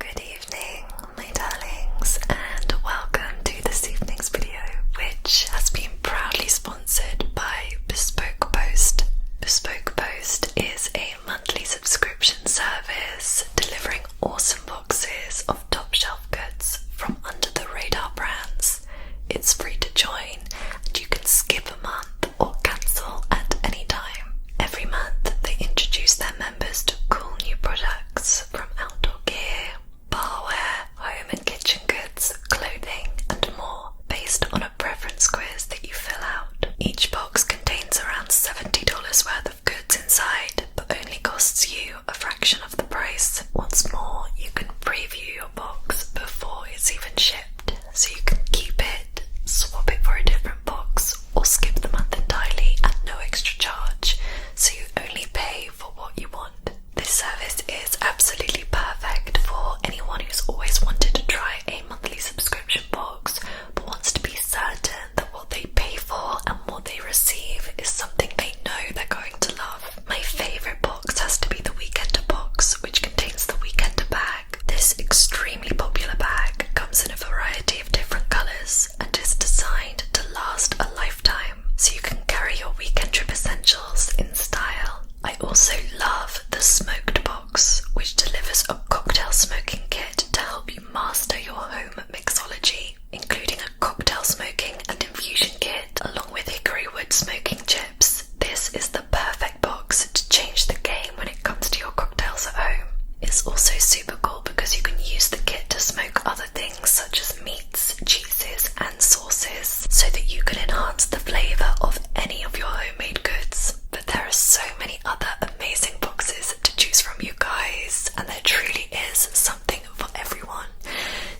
Good evening, my darlings, and welcome to this evening's video, which has been proudly sponsored by Bespoke Post. Bespoke Post is a monthly subscription service delivering awesome boxes of top shelf goods from under the radar brands. It's free to join, and you can skip a month or cancel at any time. Every month, they introduce their members to cool new products from outdoor gear, barware, home and kitchen goods, clothing, and more, based on a preference quiz that you fill out. Each box contains around $70 worth of goods inside, but only costs you a fraction of the price. Once more, you can preview your box before it's even shipped, so you can keep it, swap it for a different box, or skip the month entirely at no extra charge, so you only pay for what you want. This service is absolutely perfect for anyone who's always wanted to try a monthly subscription box but wants to be certain that what they pay for and what they receive is something they know they're going to love. My favourite box has to be the Weekender box, which contains the Weekender bag this extremely popular bag comes in a variety of different colours and is designed to last a lifetime, so you can carry your weekend trip essentials in style. I also love the smoked box, which delivers a cocktail smoking kit to help you master your home mixology, including a cocktail smoking and infusion kit, along with hickory wood smoking chips. This is the perfect box to change the game when it comes to your cocktails at home. It's also super cool because you can use the kit to smoke other things such as meats, cheeses, and sauces so that you can enhance the flavour of any of your homemade goods. But there are so many other amazing boxes to choose from, you guys, and there truly is something for everyone.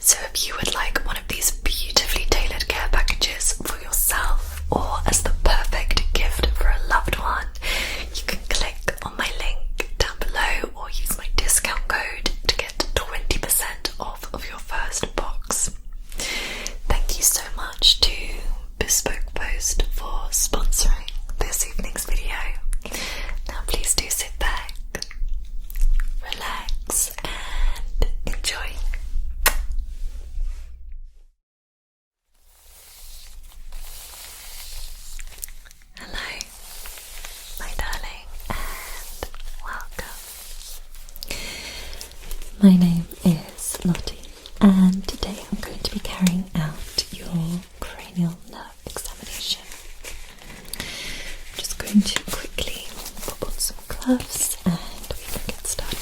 So if you would like one of these beautifully tailored care packages yourself or as the perfect gift for a loved one, you can click on my link down below or use my discount code to get 20% off of your first box. Thank you so much to Bespoke Post for sponsoring this evening's video. Now, please do sit back, relax, and enjoy. Hello, my darling, and welcome. My name is Lottie, and today I'm going to be carrying out your cranial nerve examination. I'm just going to quickly pop on some gloves and we can get started.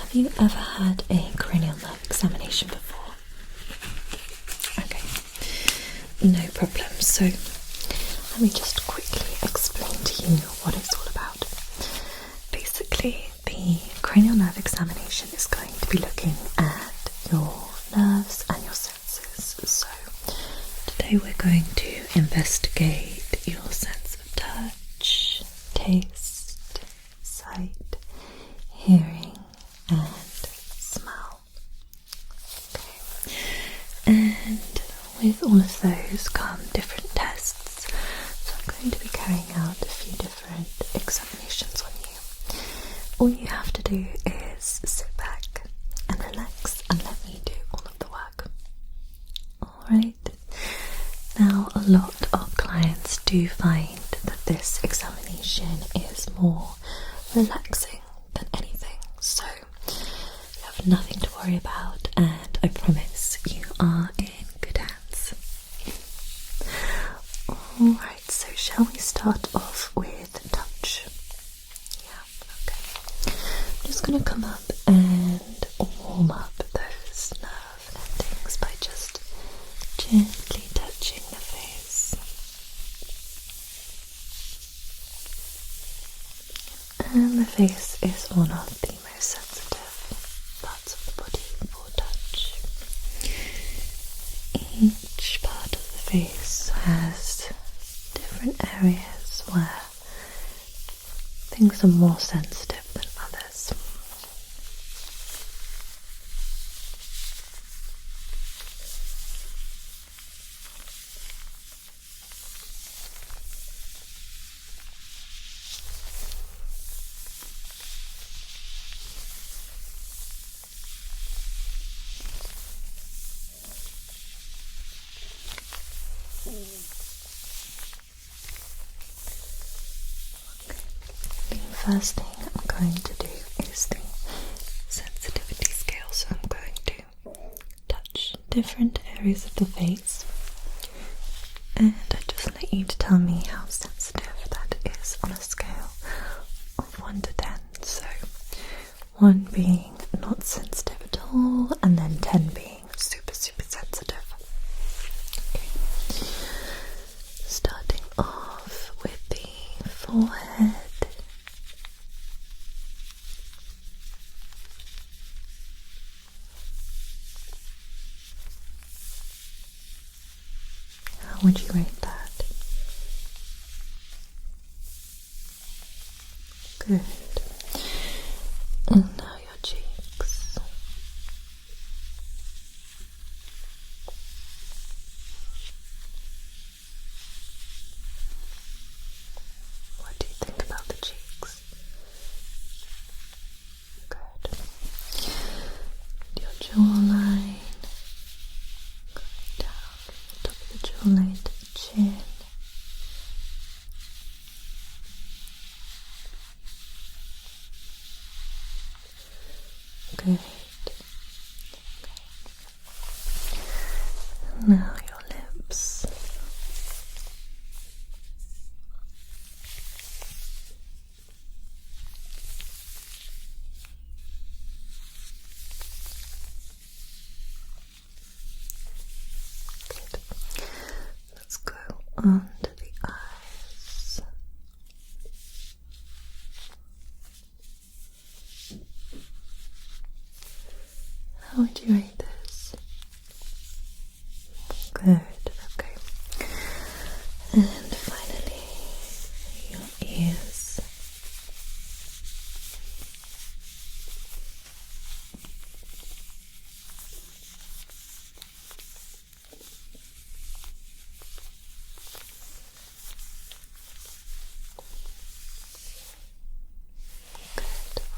Have you ever had a cranial nerve examination before? Okay, no problem. So, let me just quickly explain to you what it's all about. Basically, the cranial nerve examination is going to be looking at your nerves and your senses. So, Today we're going to investigate your sense of touch, taste, sight, hearing, and smell. Okay. And with all of those come different tests. So I'm going to be carrying out a few different examinations on you. All you have to do is sit back and relax and let me do all of the work. Alright, now a lot of clients do find that this examination is more relaxing than anything, so you have nothing to worry about, and I promise you are in good hands. Alright, so shall we start off with touch? Yeah, okay. I'm just going to come up and warm up those nerve endings by just gently touching the face. And the face is one of the most sensitive parts of the body for touch. Each part of the face has different areas where Things are more sensitive than others first thing I'm going to do is the sensitivity scale. So I'm going to touch different areas of the face, and I just need you to tell me how sensitive that is on a scale of 1 to 10. So one being not sensitive at all, and then 10 being super, super sensitive. Starting off with the forehead. How would you rate that? Good. And now your cheeks. What do you think about the cheeks? Good. Your jawline. Going top of the to the chin. Good. Okay. Now your lips. Let's go on the eyes. How would you rate this? Good, okay. And finally, your ears. Good.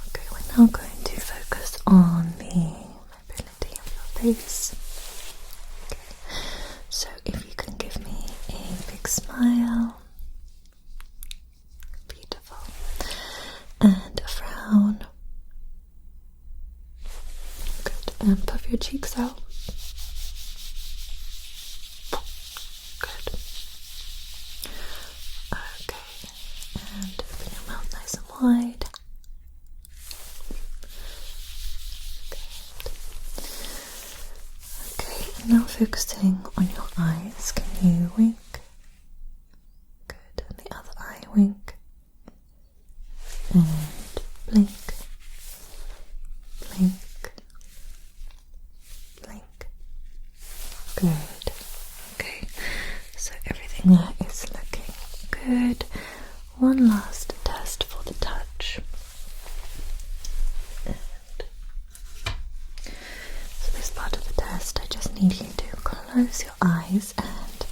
Okay, we're now going to focus on the mobility of your face. Okay. So, if you can give me a big smile. Beautiful. And a frown. Good. And puff your cheeks out. Good. Okay. And open your mouth nice and wide. Good. Okay, now focusing on your eyes, can you Good. the other eye wink. And blink. Blink. Blink. Good. Okay. So everything is looking good. One last test for the touch. So this part of the test, I just need you to close your eyes and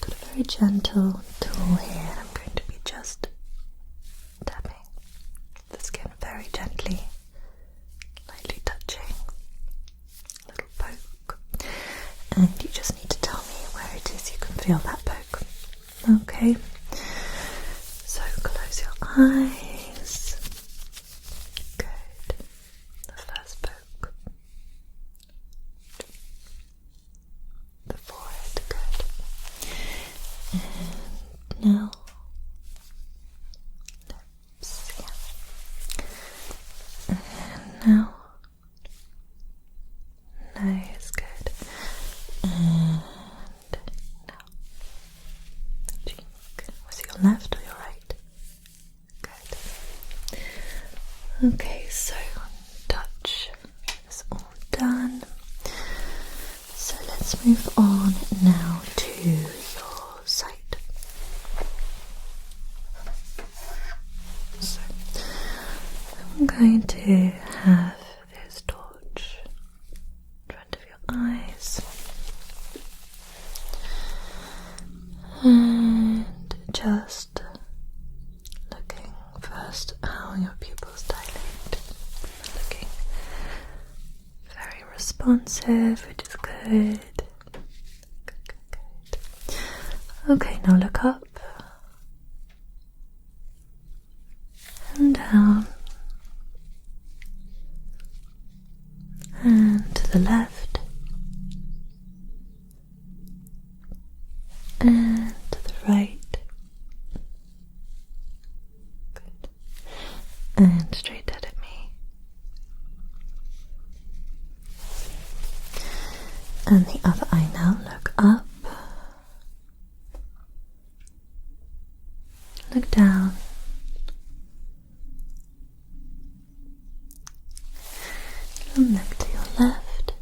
put a very gentle tool here. I'm going to be just tapping the skin very gently, lightly touching, a little poke, and you just need to tell me where it is you can feel that poke. Okay, so close your eyes Good. The first poke. The forehead, good. And now lips, And now nose, good now, the Was it your left or your right? Good. Okay, so touch is all done. So let's move on now to your sight. So I'm going to have this torch of your eyes. And just looking first how your pupils dilate. Looking very responsive, which is good. Good, good, good. Okay, now look up. And down and to the left, and to the right, and straight dead at me. And the other eye now, look up Look down. look to your left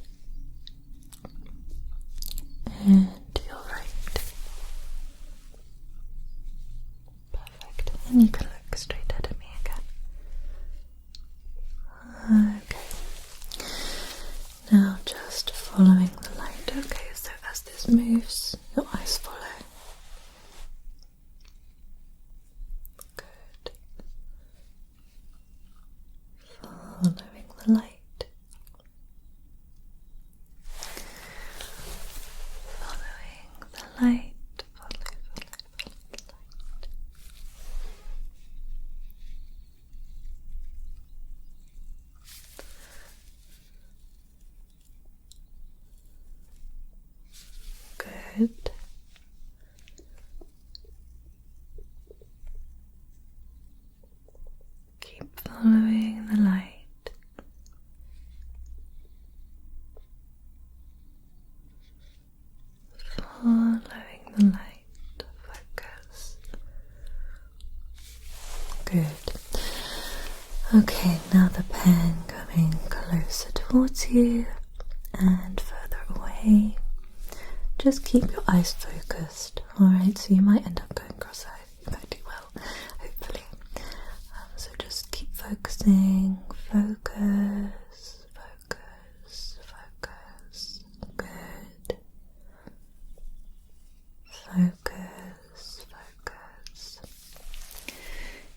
and to your right. Perfect. And you can look straight at me again. Okay. Now just following the light. Okay, so as this moves, your eyes follow. Good. Following the light. Following the light. Follow, follow, follow the light. Good. Keep following the light. Following the light, focus Good. Okay, now the pen coming closer towards you and further away. Just keep your eyes focused, alright? So you might end up going cross eyed. You might do well, hopefully. Um, so just keep focusing, focus, focus, focus. Good. Focus, focus.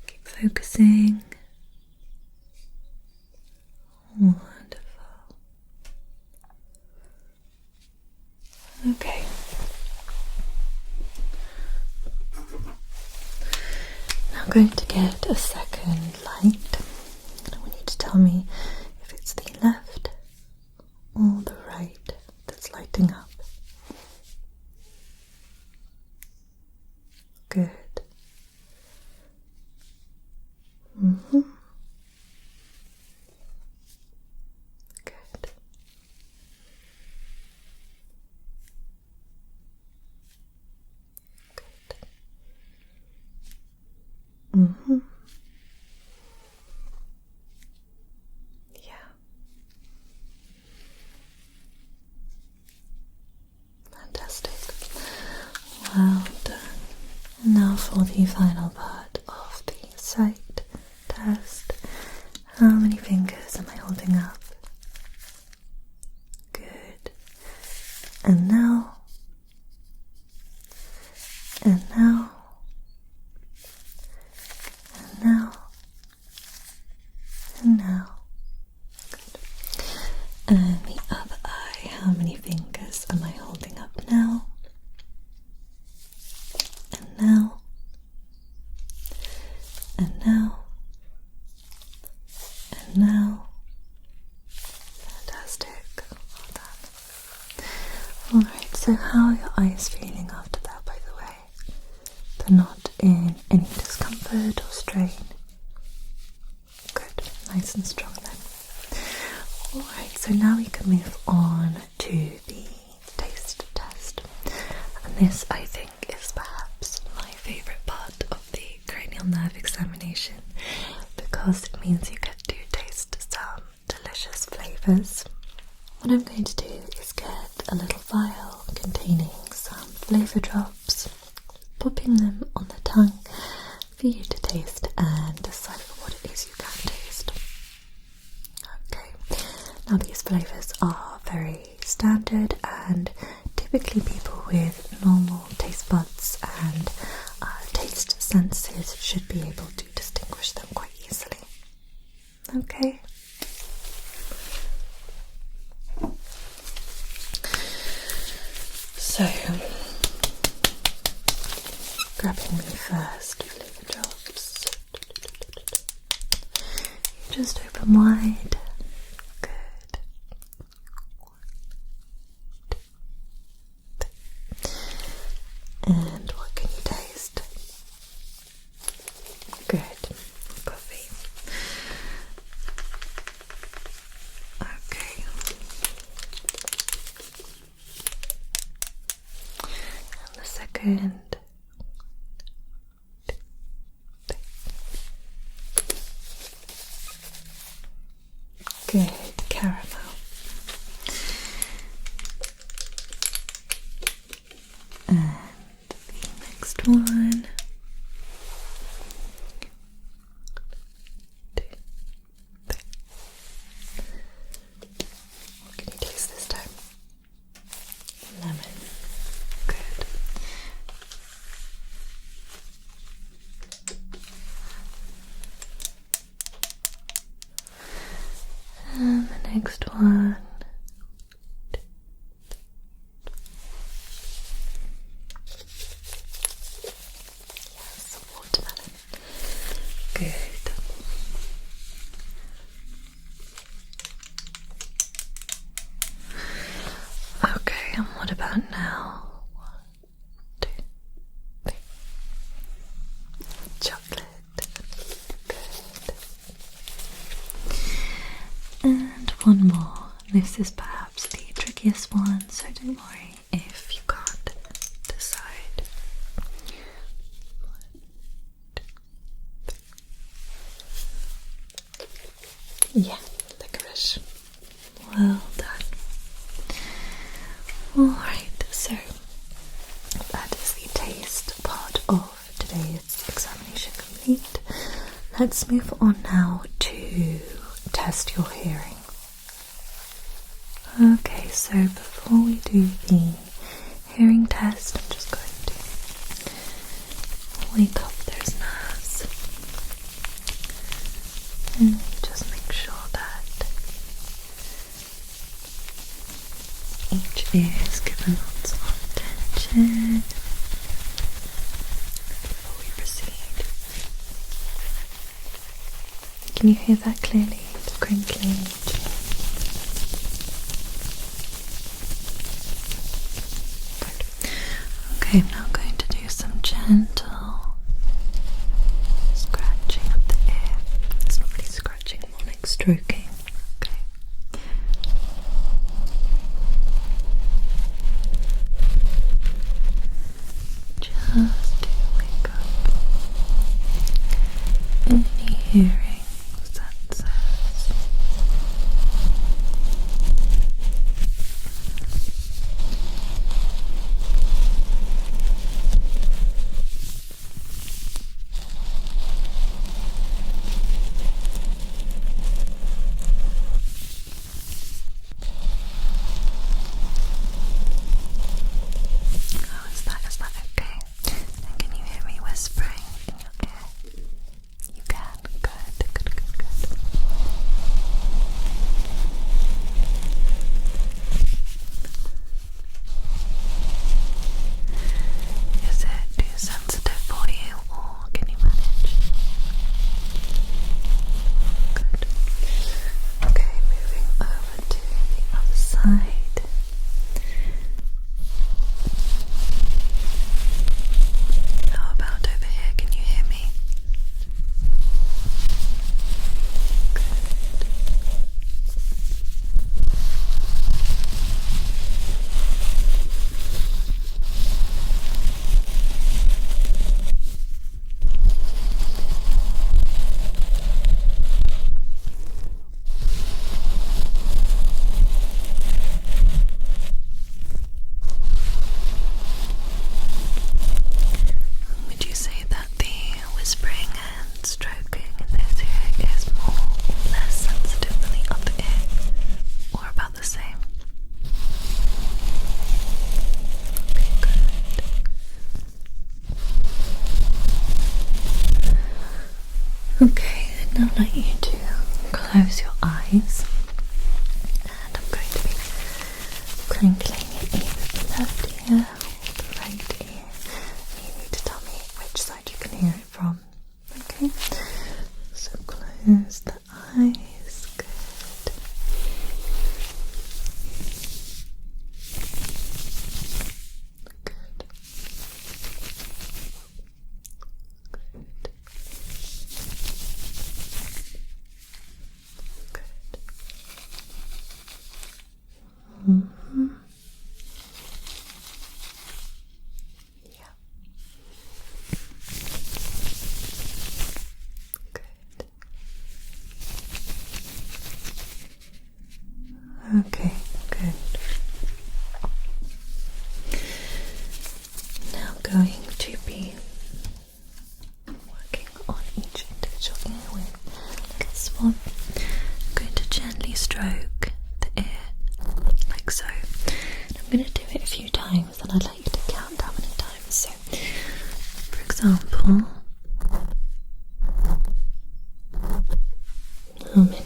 Keep focusing. Wonderful. Okay. Now I'm going to get a second light. And I want you to tell me if it's the left all the right that's lighting up. Good. -hmm. Good. Good. -hmm. Yeah. Fantastic. Well done. Now for the final part of the sight test. How many fingers am I holding up? Good. And now. And now. And now. And now, And the other eye, how many fingers am I holding up now? And now, and now, and now. Fantastic. Alright, so how are your eyes feeling after that, by the way? They're not in any discomfort or strain. Good, nice and strong then. Alright, so now we can move on to the taste test. And this, I think, is perhaps my favourite part of the cranial nerve examination because it means you get to taste some delicious flavours. What I'm going to do is get a little vial containing some flavour drops, popping them on the tongue for you to taste and decide what it is you can taste. Okay, now these flavours are very standard and typically people with normal taste buds and uh, taste senses should be able to distinguish them quite easily. Okay. So, grabbing me first You just open wide. Good. And what can you taste? Good. Coffee. Okay. the second. Good caramel. And the next one. what can you taste this time? Lemon. Good. And um, the next one. Yes, watermelon. Good. Okay, and what about now? One, two, three. Chocolate. And one more. This is perhaps the trickiest one, so don't worry if you can't decide. Yeah, licorice. Well done. Alright, so that is the taste part of today's examination complete. Let's move on now to test your hearing. Okay, so before we do the hearing test, I'm just going to wake up those nerves and just make sure that each ear is given lots of attention before we proceed. Can you hear that clearly? It's crinkling. Okay, I'm now going to do some gentle scratching of the ear. It's not really scratching, more like stroking. Okay. Just to wake up any hearings that Oh, that, is that okay? can you hear me whispering in You can, good, good, good, good. Is it too sensitive for you or can you manage? Okay, moving over to the other side. How about over here? Can you hear me? Would you say that the whispering and stroking in this ear is more less sensitive than the other ear, or about the same. Okay, good. Okay, and I'd like you to close your eyes, and I'm going to be crinkling in the left ear or the right ear you need to tell me which side you can hear it from. Okay? So close the eyes. Good. Good. Good. Good. Yeah. Good. Okay, good. Now going to be working on each individual earwing. I'm going to gently stroke the ear, like so. I'm going to do it a few times, and I'd like you to count how many times. So, for example, how many?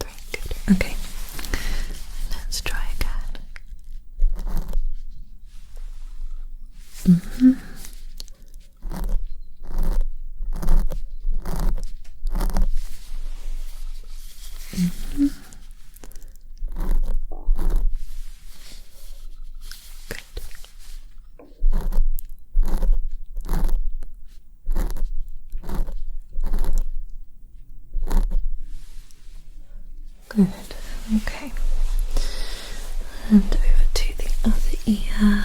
Three. Good. Okay. Let's try again. hmm Good. Good. Okay. And over to the other ear.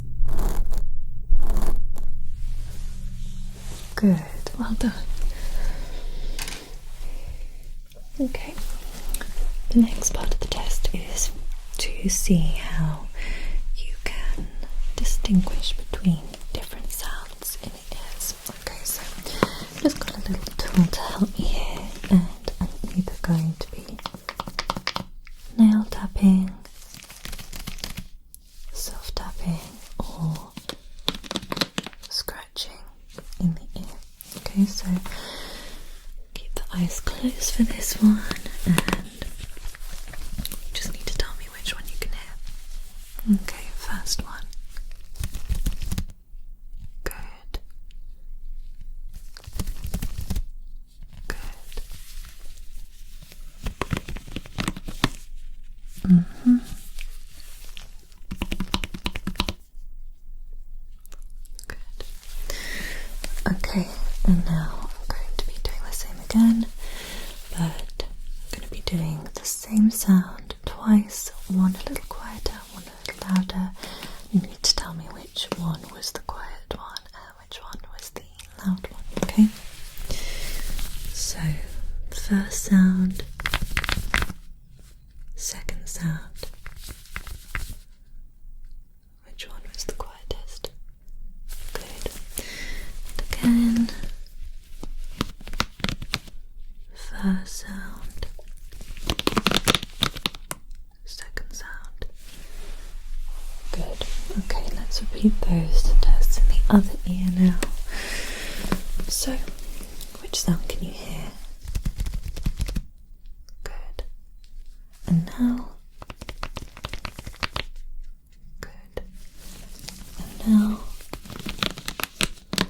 Good, well done. Okay, the next part of the test is to see how you can distinguish between different sounds in your ears. Okay, so just got a little tool to help me here, and I'm either going to be nail tapping self tapping or scratching in the ear. Okay, so keep the eyes closed for this one and just need to tell me which one you can hear. Okay, first one. Good. Good. Mm hmm. Good. Okay, and now I'm going to be doing the same again, but I'm going to be doing the same sound twice one a little quieter, one a little louder. You need to tell me which one was the quiet one which one was the loud one, okay? So, first sound, second sound. Which one was the quietest? Good. And again, first sound, second sound. Good. Okay, let's repeat those test in the other ear now. So, which sound can you hear? Good. And now. Good. And now. Good.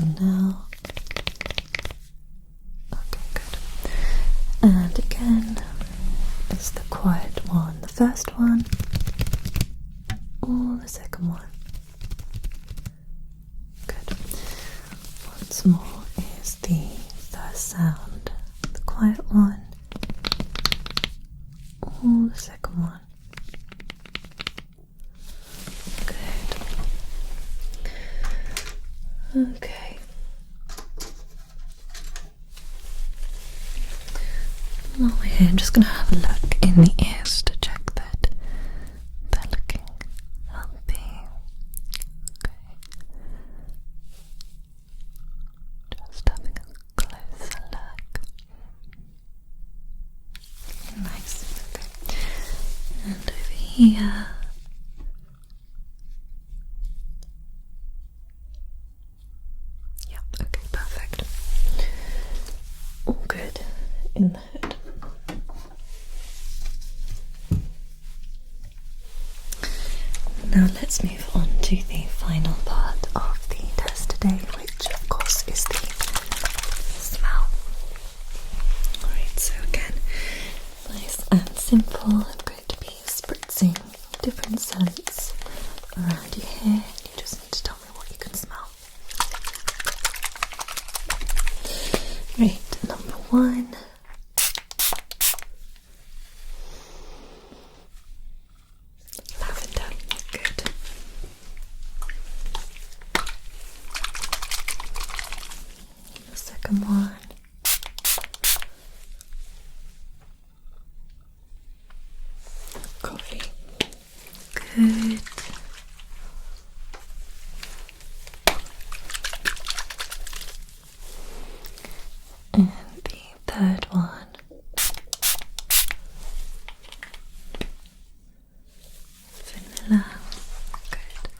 And now. Okay, good. And again, is the quiet one, the first one, or the second one. Good. Once more is the first sound, the quiet one, or the second one. Good. Okay, while here, I'm just going to have a look in the ears to check that they're looking healthy. Just having a closer look. Nice. And over here, yeah, okay, perfect. All good in the head. Now let's move on to the final part of the test today, which of course is the smell. so again, nice and simple to be spritzing different scents around your hair. You just need to tell me what you can smell. Right, number one. Lavender, good. second one. Coffee. Good. And the third one. Vanilla. Good.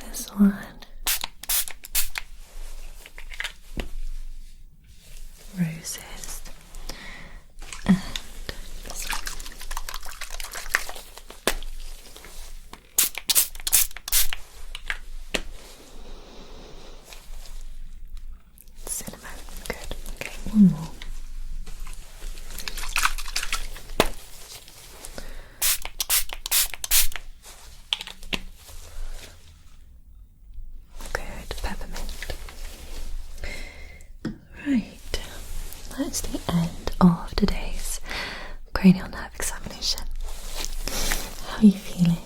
This one roses and Cinnamon, good. one more. Good peppermint. Right, that's the end of today's cranial nerve examination. How are you feeling?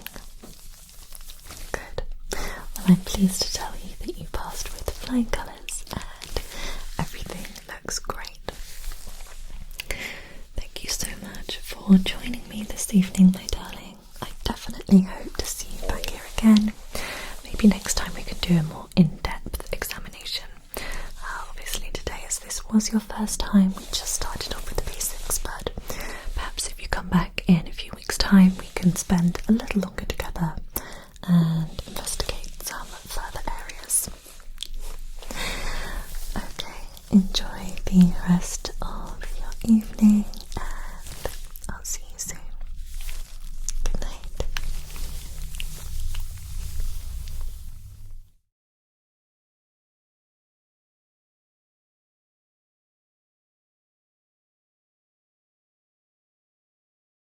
Good. Well, I'm pleased to tell you that you passed with flying colours and everything looks great. Thank you so much for joining me this evening, my darling. I definitely hope to see you back here again. Maybe next time we can do a more in depth examination. Uh, obviously, today, as this was your first time, we just started off with the basics, but perhaps if you come back in a few weeks' time, we can spend a little longer together and investigate some further areas. Okay, enjoy the rest of your evening and I'll see you soon. Good